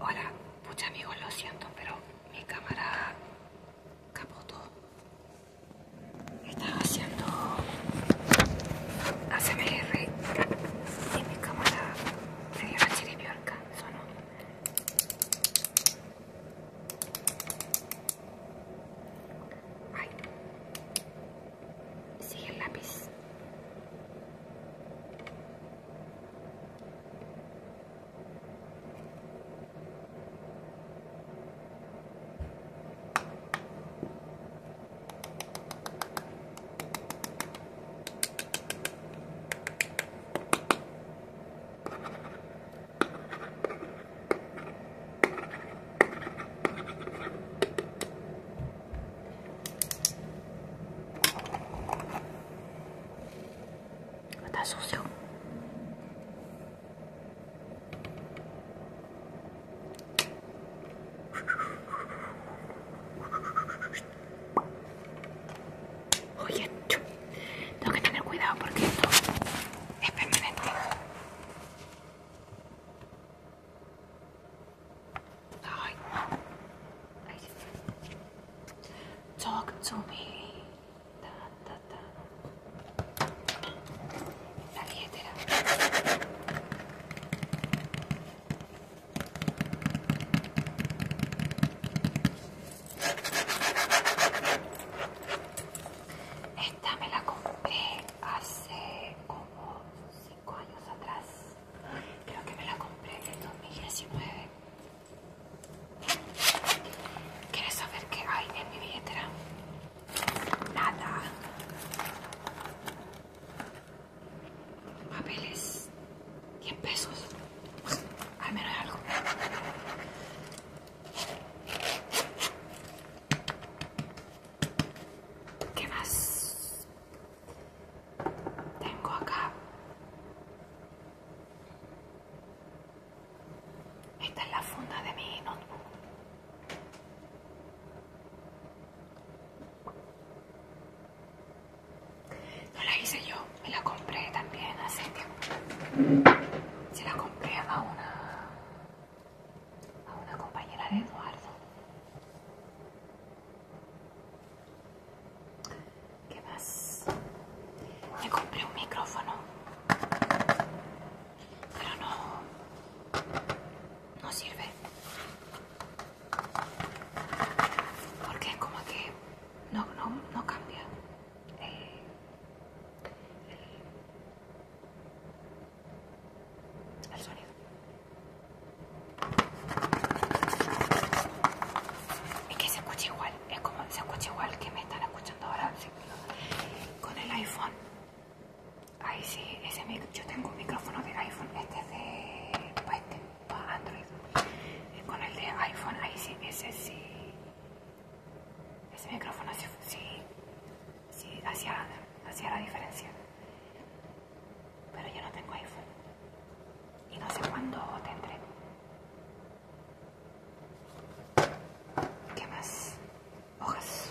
Hola, pucha amigos, lo siento, pero mi cámara capotó. Estaba haciendo ACMR y mi cámara se dio la chiripiorca, sonó. Ay, Sigue el lápiz. Está sucio. Oye, tengo que tener cuidado porque esto es permanente. I, talk to me. Da, da, da. La billetera. Esta me la compré hace como cinco años atrás. Creo que me la compré en 2019. ¿Quieres saber qué hay en mi billetera? Nada. Papeles. 10 pesos. Al menos algo. ¿Qué más? Tengo acá. Esta es la funda de mi notebook. No la hice yo, me la compré también hace tiempo. Se la compré a una a una compañera de Eduardo ¿Qué más? Le compré un micrófono pero no no sirve porque es como que no, no, no cambia eh, el sonido. Es que se escucha igual, es como se escucha igual que me están escuchando ahora con el iPhone. Ahí sí, ese yo tengo un micrófono de iPhone, este es de pues, este, Android. con el de iPhone, ahí sí, ese sí. Ese micrófono sí, sí, sí hacía, hacía la diferencia. Pero yo no tengo iPhone. Y no sé cuándo tendré. ¿Qué más? Hojas.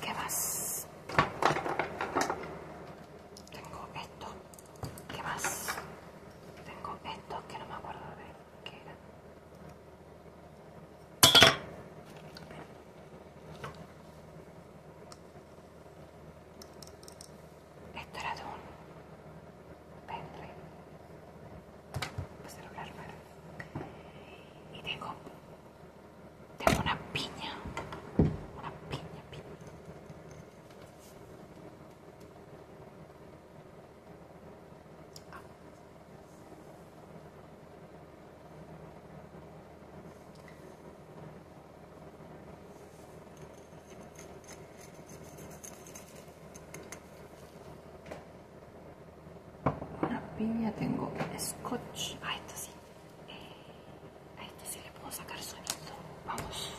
¿Qué más? Tengo esto. ¿Qué más? Tengo esto que no me acuerdo de qué era. Esto era de un pendrive pues celular nuevo y tengo tengo una piña una piña piña una piña, tengo scotch. a esto sí. Eh, a esto sí le puedo sacar sonido. Vamos.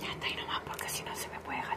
Ya está ahí nomás porque si no se me puede gastar.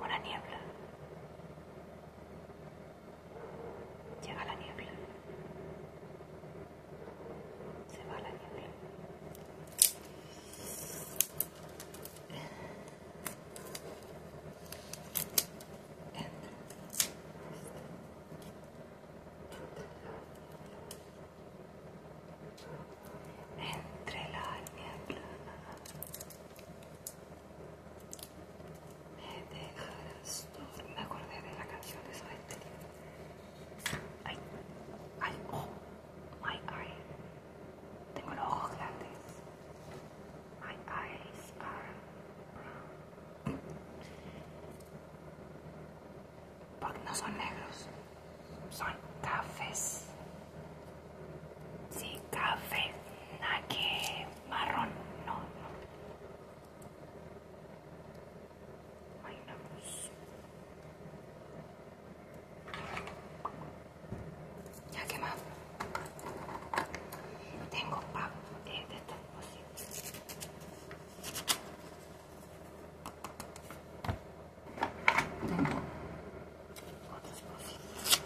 Una niebla. Llega la niebla. Se va la niebla entre la niebla me dejarás todo me acordé de la canción de Soda ay oh my eye tengo los ojos grandes my eyes are brown porque no son negros, son cafés. Sí, café, nada marrón, no, no. Ay, no. Pues. Ya quemado. Tengo papel eh, de, de estos pues, tengo otras cosas.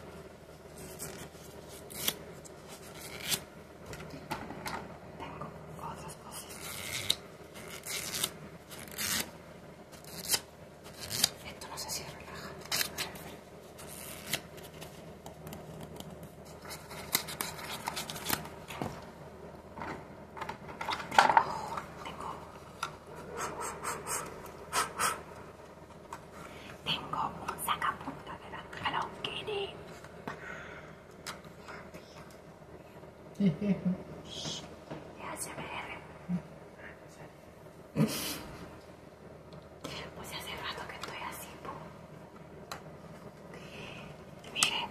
Tengo otras cosas. Esto no sé si relaja. Tengo, tengo, un sacapunta de la Hello Kitty. ya se Pues hace rato que estoy así, mire. Miren,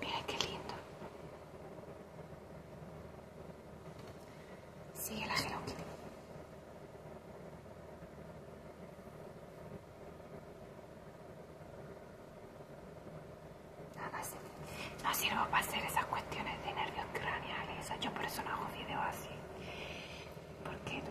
Mira qué lindo. Sigue la Hello Nada, No, sirvo. para hacer esas cuestiones de nervios craneales. Yo por eso no hago videos así. ¿Por qué no?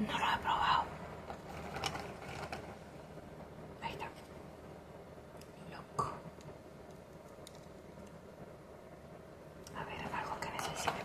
No lo he probado. Ahí está. Loco. A ver, algo que necesite. ahí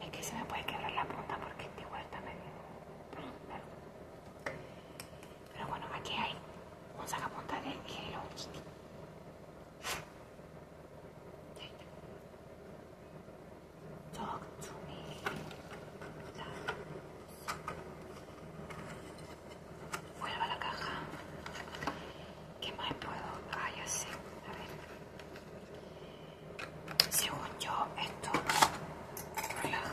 Es que se me puede quebrar la punta porque te vuelta me medio. Pero, bueno, aquí hay un sacapunta de Hello Kitty. Talk to me. Vuelva la caja. ¿Qué más puedo? Ah, ya A ver. Según yo, esto relaja.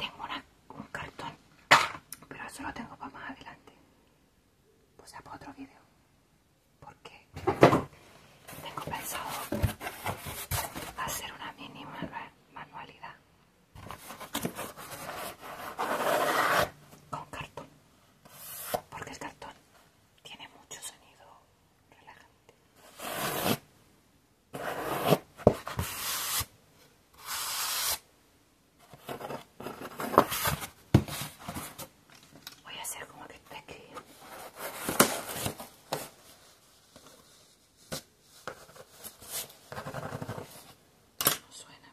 Tengo un cartón, pero eso lo tengo para más adelante. Pues ya para otro vídeo porque tengo pensado hacer una mínima manualidad con cartón porque el cartón tiene mucho sonido relajante Voy a hacer como que está aquí. No suena.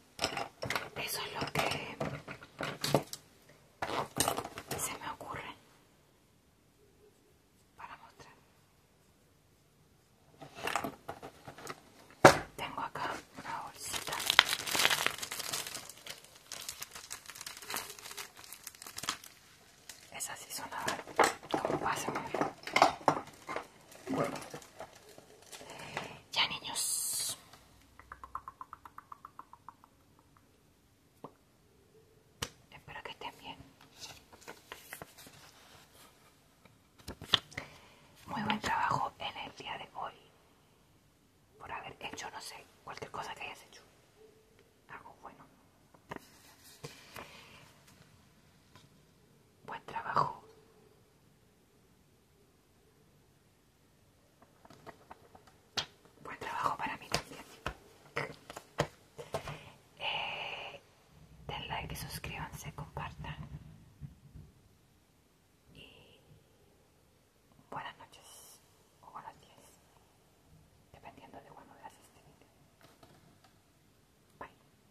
Eso es lo que se me ocurre para mostrar. Tengo acá una bolsita. esa sí sonaba como pasan. Bueno. Ya, niños. Espero que estén bien. Muy buen trabajo en el día de hoy. Por haber hecho, no sé, cualquier cosa que hayas hecho. Algo bueno. Buen trabajo Buen trabajo para mí también. Eh, den like, suscríbanse, compartan. Y buenas noches o buenas días, dependiendo de cuando veas este video. Bye.